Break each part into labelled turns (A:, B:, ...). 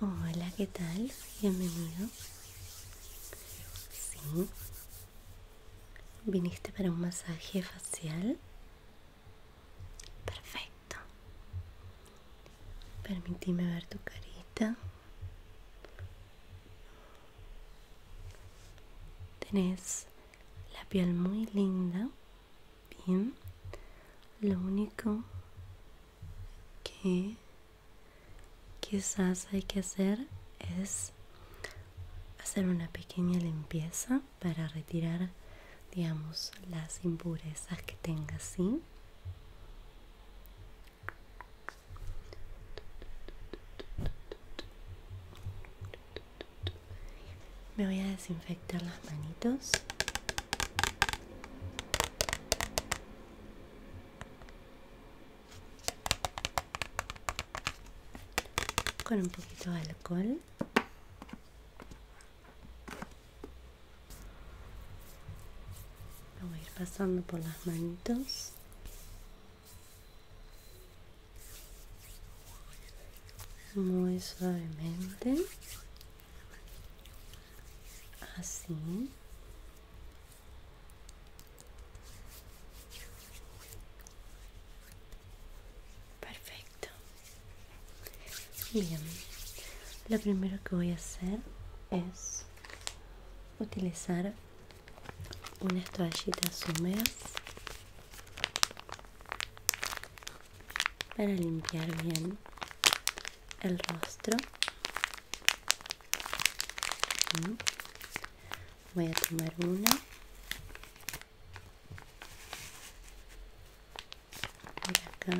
A: Hola, ¿qué tal? Bienvenido. Sí. ¿Viniste para un masaje facial? Perfecto. Permitime ver tu carita. Tenés la piel muy linda. Bien, lo único que quizás hay que hacer es hacer una pequeña limpieza para retirar, digamos, las impurezas que tenga así me voy a desinfectar las manitos con un poquito de alcohol lo voy a ir pasando por las manitos muy suavemente así perfecto bien lo primero que voy a hacer es utilizar unas toallitas húmedas para limpiar bien el rostro. Voy a tomar una. acá.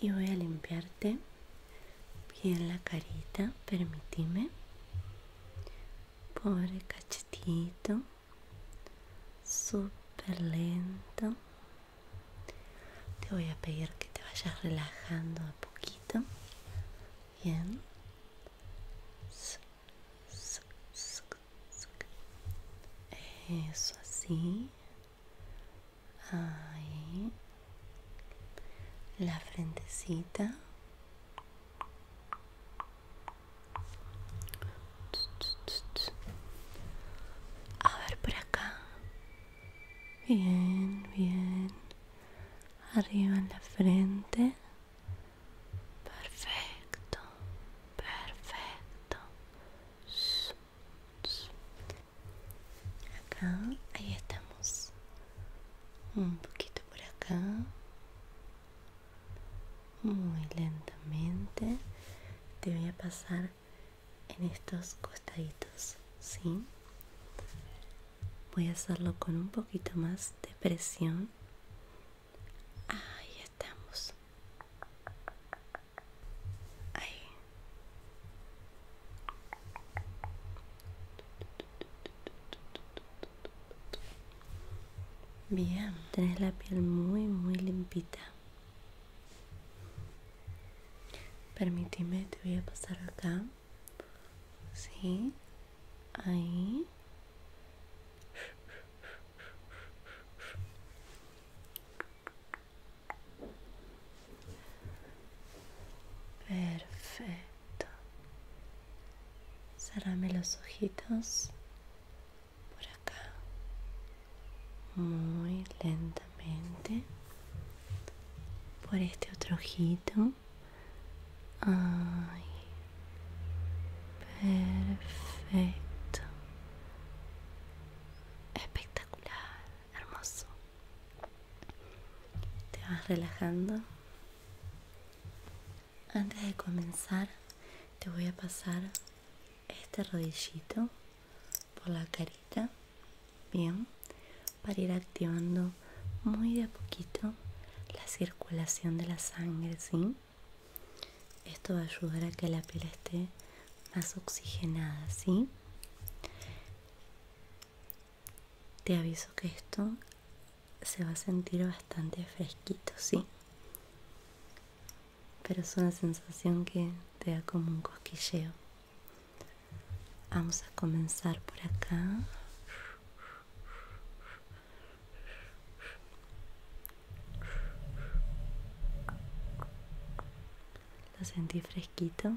A: Y voy a limpiarte bien la carita, permitime. Pobre cachetito, súper lento. Te voy a pedir que te vayas relajando a poquito. Bien. Eso así. Ahí la frentecita a ver por acá bien bien arriba en la frente perfecto perfecto acá ahí estamos un poquito por acá muy lentamente te voy a pasar en estos costaditos sí voy a hacerlo con un poquito más de presión ahí estamos ahí Bien, tenés la piel muy, muy limpita. Permíteme, te voy a pasar acá. Sí, ahí. Perfecto. Cerrame los ojitos por acá. Muy lentamente. Por este otro ojito. Perfecto. Espectacular. Hermoso. Te vas relajando. Antes de comenzar, te voy a pasar este rodillito por la carita, bien, para ir activando muy de a poquito la circulación de la sangre, ¿sí? Esto va a ayudar a que la piel esté más oxigenada, ¿sí? Te aviso que esto se va a sentir bastante fresquito, sí. Pero es una sensación que te da como un cosquilleo. Vamos a comenzar por acá. Lo sentí fresquito.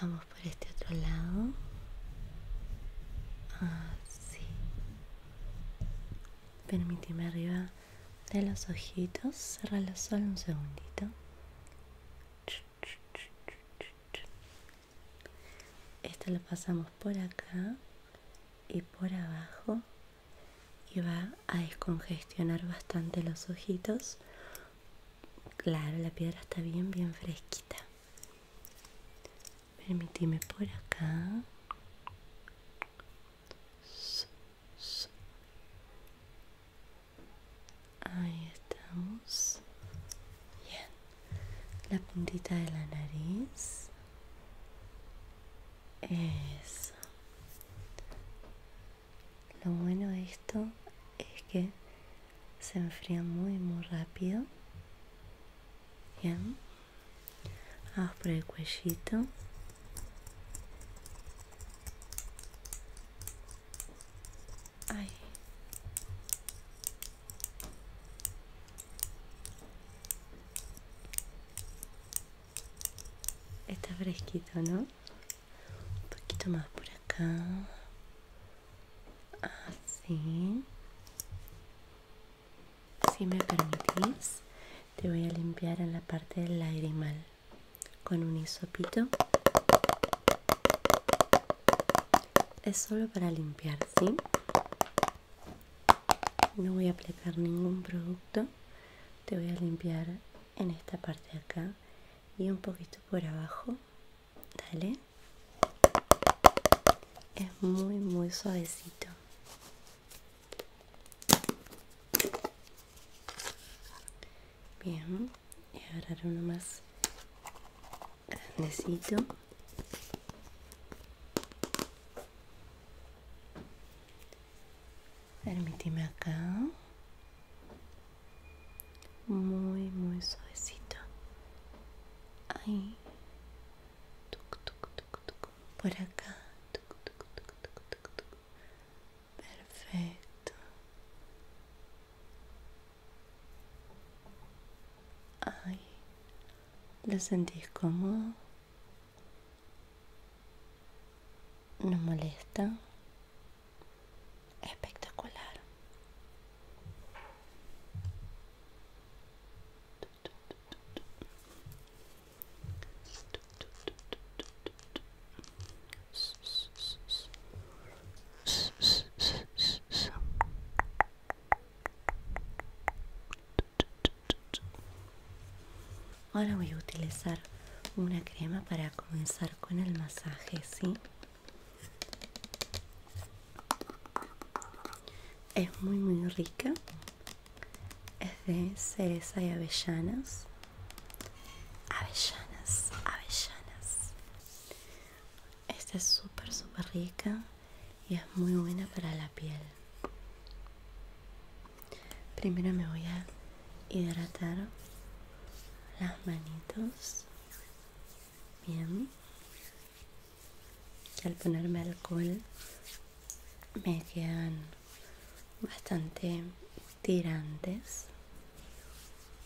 A: Vamos por este otro lado. Así. Ah, Permíteme arriba de los ojitos. Cerralo solo un segundito. Esto lo pasamos por acá y por abajo y va a descongestionar bastante los ojitos Claro, la piedra está bien, bien fresquita. Permitime por acá. Ahí estamos. Bien. La puntita de la nariz. Eso. Lo bueno de esto es que se enfría muy muy rápido. Bien. Vamos por el cuellito. Ay. Está fresquito, ¿no? un poquito más por acá así si me permitís te voy a limpiar en la parte del mal con un hisopito es solo para limpiar ¿sí? no voy a aplicar ningún producto te voy a limpiar en esta parte de acá y un poquito por abajo dale es muy muy suavecito bien y ahora uno más grandecito Permíteme acá. Muy, muy suavecito. Ahí. Tuc, tuc, tuc, tuc. Por acá. Tuc, tuc, tuc, tuc, tuc, tuc. Perfecto. Ay. ¿Lo sentís cómodo? No molesta. Espectacular. Ahora voy a utilizar una crema para comenzar con el masaje, ¿sí? Es muy muy rica. Es de cereza y avellanas. Avellanas, avellanas. Esta es súper súper rica y es muy buena para la piel. Primero me voy a hidratar las manitos. Bien. al ponerme alcohol me quedan bastante tirantes.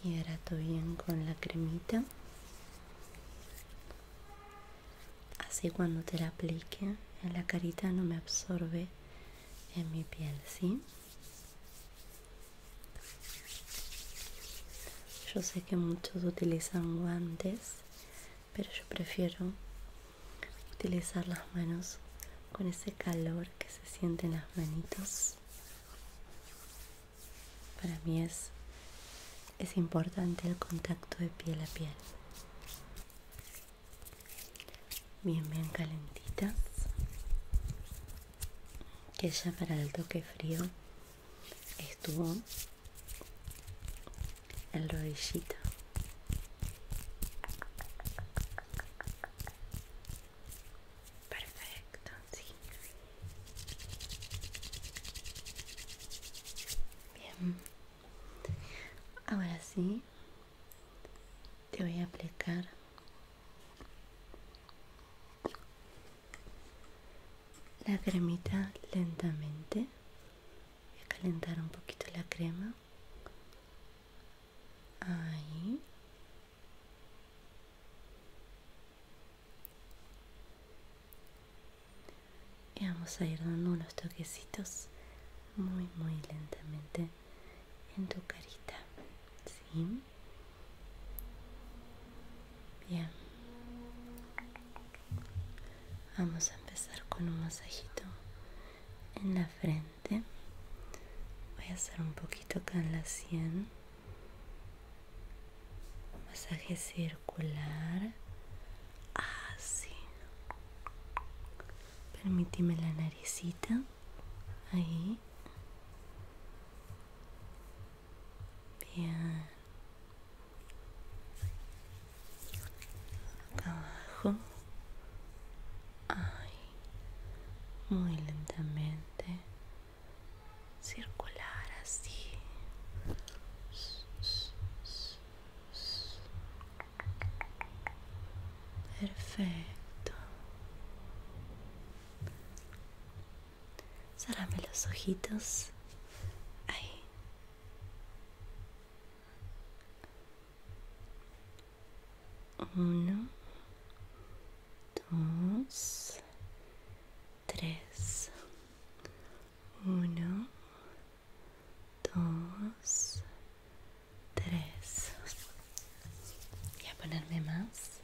A: Hidrato bien con la cremita. Así cuando te la aplique en la carita no me absorbe en mi piel, ¿sí? Yo sé que muchos utilizan guantes, pero yo prefiero utilizar las manos con ese calor que se siente en las manitos. Para mí es, es importante el contacto de piel a piel bien bien calentitas que ya para el toque frío estuvo el rodillito perfecto bien ahora sí te voy a aplicar la cremita lentamente voy a calentar un poquito la crema ahí y vamos a ir dando unos toquecitos muy muy lentamente en tu carita ¿sí? bien vamos a empezar con un masajito en la frente voy a hacer un poquito acá en la sien masaje circular así ah, Permíteme la naricita. Ahí. Bien. abajo. Muy lentamente. Circular así. Perfecto. Cerrame los ojitos. Ahí. Uno, dos, tres. Uno, dos, tres. Voy a ponerme más.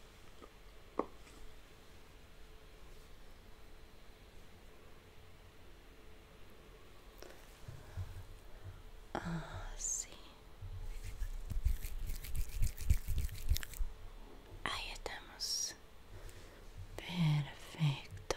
A: Así. Ah, Ahí estamos. Perfecto.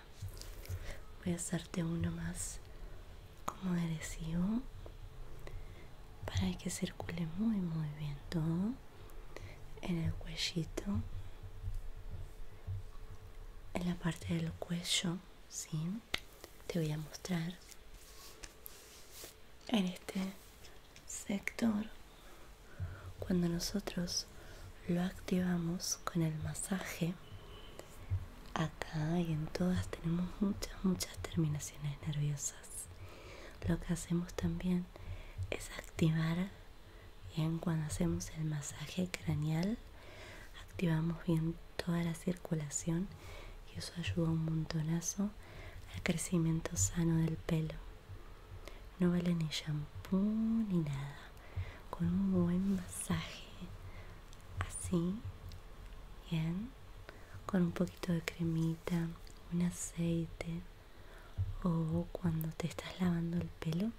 A: voy a hacerte uno más como adhesivo para que circule muy muy bien todo en el cuellito en la parte del cuello sí te voy a mostrar en este sector cuando nosotros lo activamos con el masaje, acá y en todas tenemos muchas, muchas terminaciones nerviosas. Lo que hacemos también es activar bien cuando hacemos el masaje craneal, activamos bien toda la circulación y eso ayuda un montonazo al crecimiento sano del pelo. No vale ni shampoo ni nada. Con un buen masaje. Así. Bien. Con un poquito de cremita, un aceite. O cuando te estás lavando el pelo,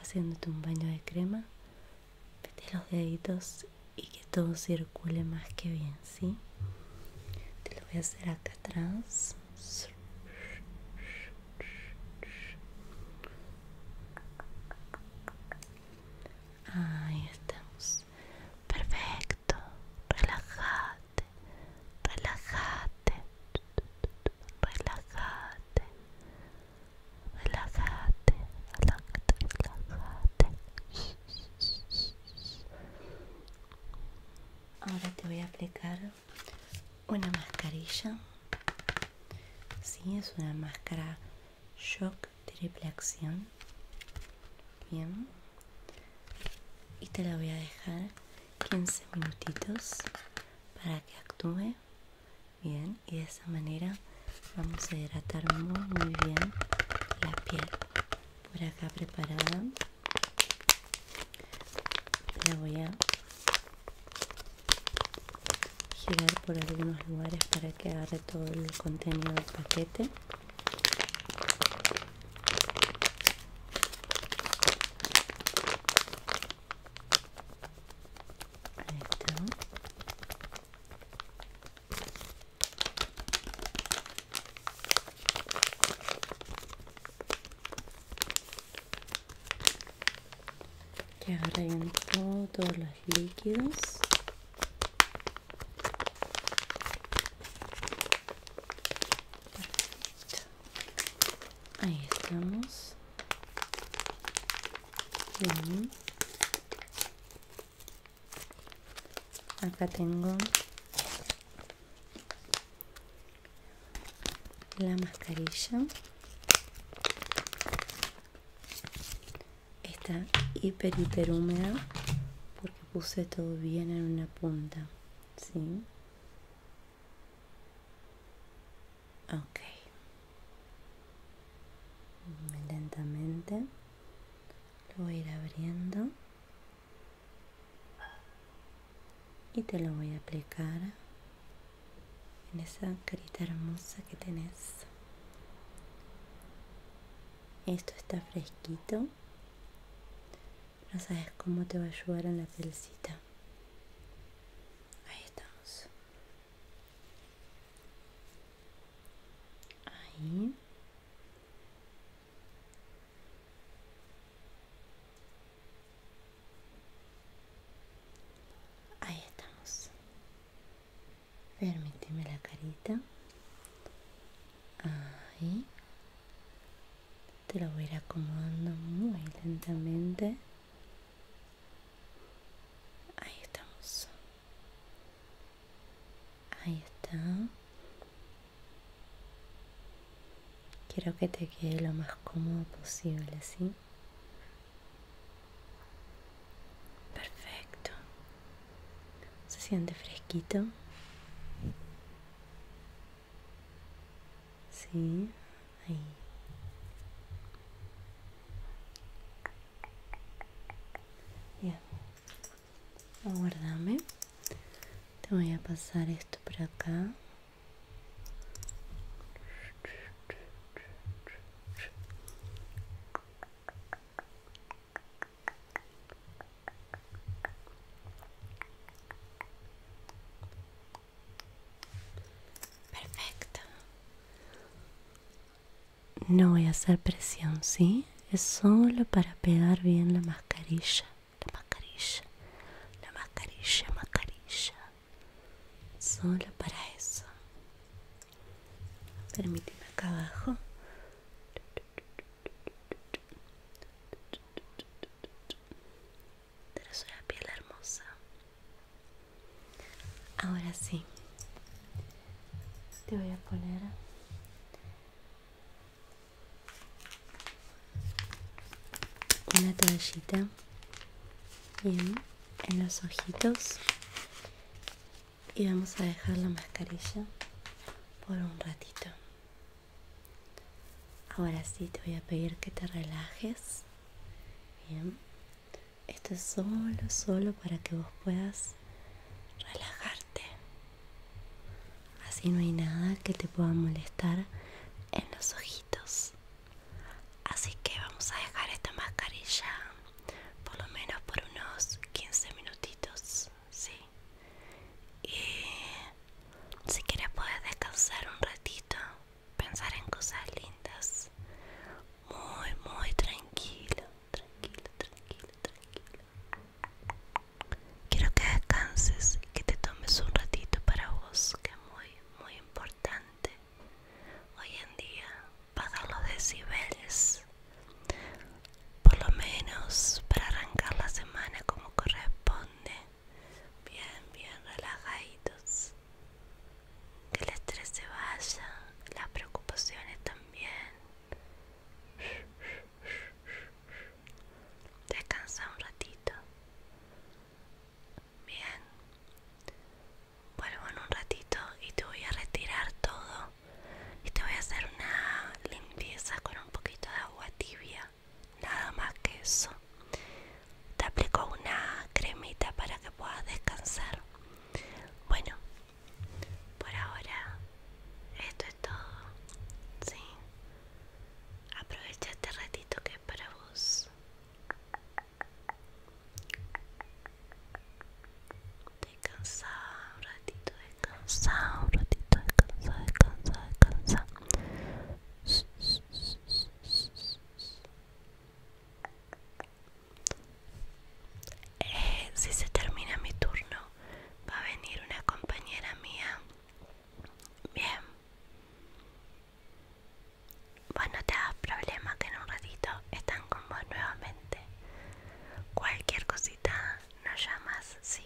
A: haciéndote un baño de crema, mete los deditos y que todo circule más que bien, ¿sí? Te lo voy a hacer acá atrás. Ahí estamos. Perfecto. Relájate. Relájate. Relájate. Relájate. Relájate. Relájate. Ahora te voy a aplicar una mascarilla si, es una máscara shock triple acción bien y te la voy a dejar 15 minutitos para que actúe bien y de esa manera vamos a hidratar muy muy bien la piel por acá preparada la voy a girar por algunos lugares para que agarre todo el contenido del paquete que todos los líquidos ahí estamos acá tengo la mascarilla está hiper hiper húmeda porque puse todo bien en una punta ok lentamente lo voy a ir abriendo y te lo voy a aplicar en esa carita hermosa que tenés esto está fresquito no sabes cómo te va a ayudar en la pelcita ahí estamos ahí Ahí estamos. Permíteme la carita. Ahí. Te lo voy a ir acomodando muy lentamente. Ahí estamos. Ahí está. Quiero que te quede lo más cómodo posible, ¿sí? Perfecto. ¿Se siente fresquito? Sí, ahí. Bien aguardame te voy a pasar esto por acá Perfecto. No voy a hacer presión, ¿sí? Es solo para pegar bien la mascarilla la mascarilla, la mascarilla, mascarilla. Solo para eso. Permíteme acá abajo. Trazo la piel hermosa. Ahora sí. Te voy a poner una toallita bien en los ojitos y vamos a dejar la mascarilla por un ratito ahora sí te voy a pedir que te relajes bien esto es solo solo para que vos puedas relajarte. Así no hay nada que te pueda molestar en los ojitos. Así que vamos a dejar esta mascarilla por lo menos por unos 15 minutitos, Y si quieres puedes descansar un ratito, pensar en cosas lindas. Muy, muy tranquilo, tranquilo, tranquilo, tranquilo. Quiero que descanses y que te tomes un ratito para vos, que es muy, muy importante. Hoy en día, para los decibeles, por lo menos para arrancar la semana como corresponde. Bien, bien relajaditos. Que el estrés se vaya, las preocupaciones también. Descansa un ratito. Bien. Vuelvo en un ratito y te voy a retirar todo. Y te voy a hacer una limpieza con un poquito de agua tibia. Nada más que eso. Te aplico una cremita para que puedas descansar. Bueno, por ahora esto es todo sí aprovecha este ratito que es para vos descansa un ratito descansa un ratito descansa descansa descansa eh, si se termina mi turno va a venir una compañera mía bien vos no te hagas problema que en un ratito están con vos nuevamente cualquier cosita nos llamas sí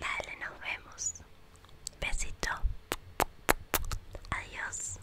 A: dale nos vemos besito adiós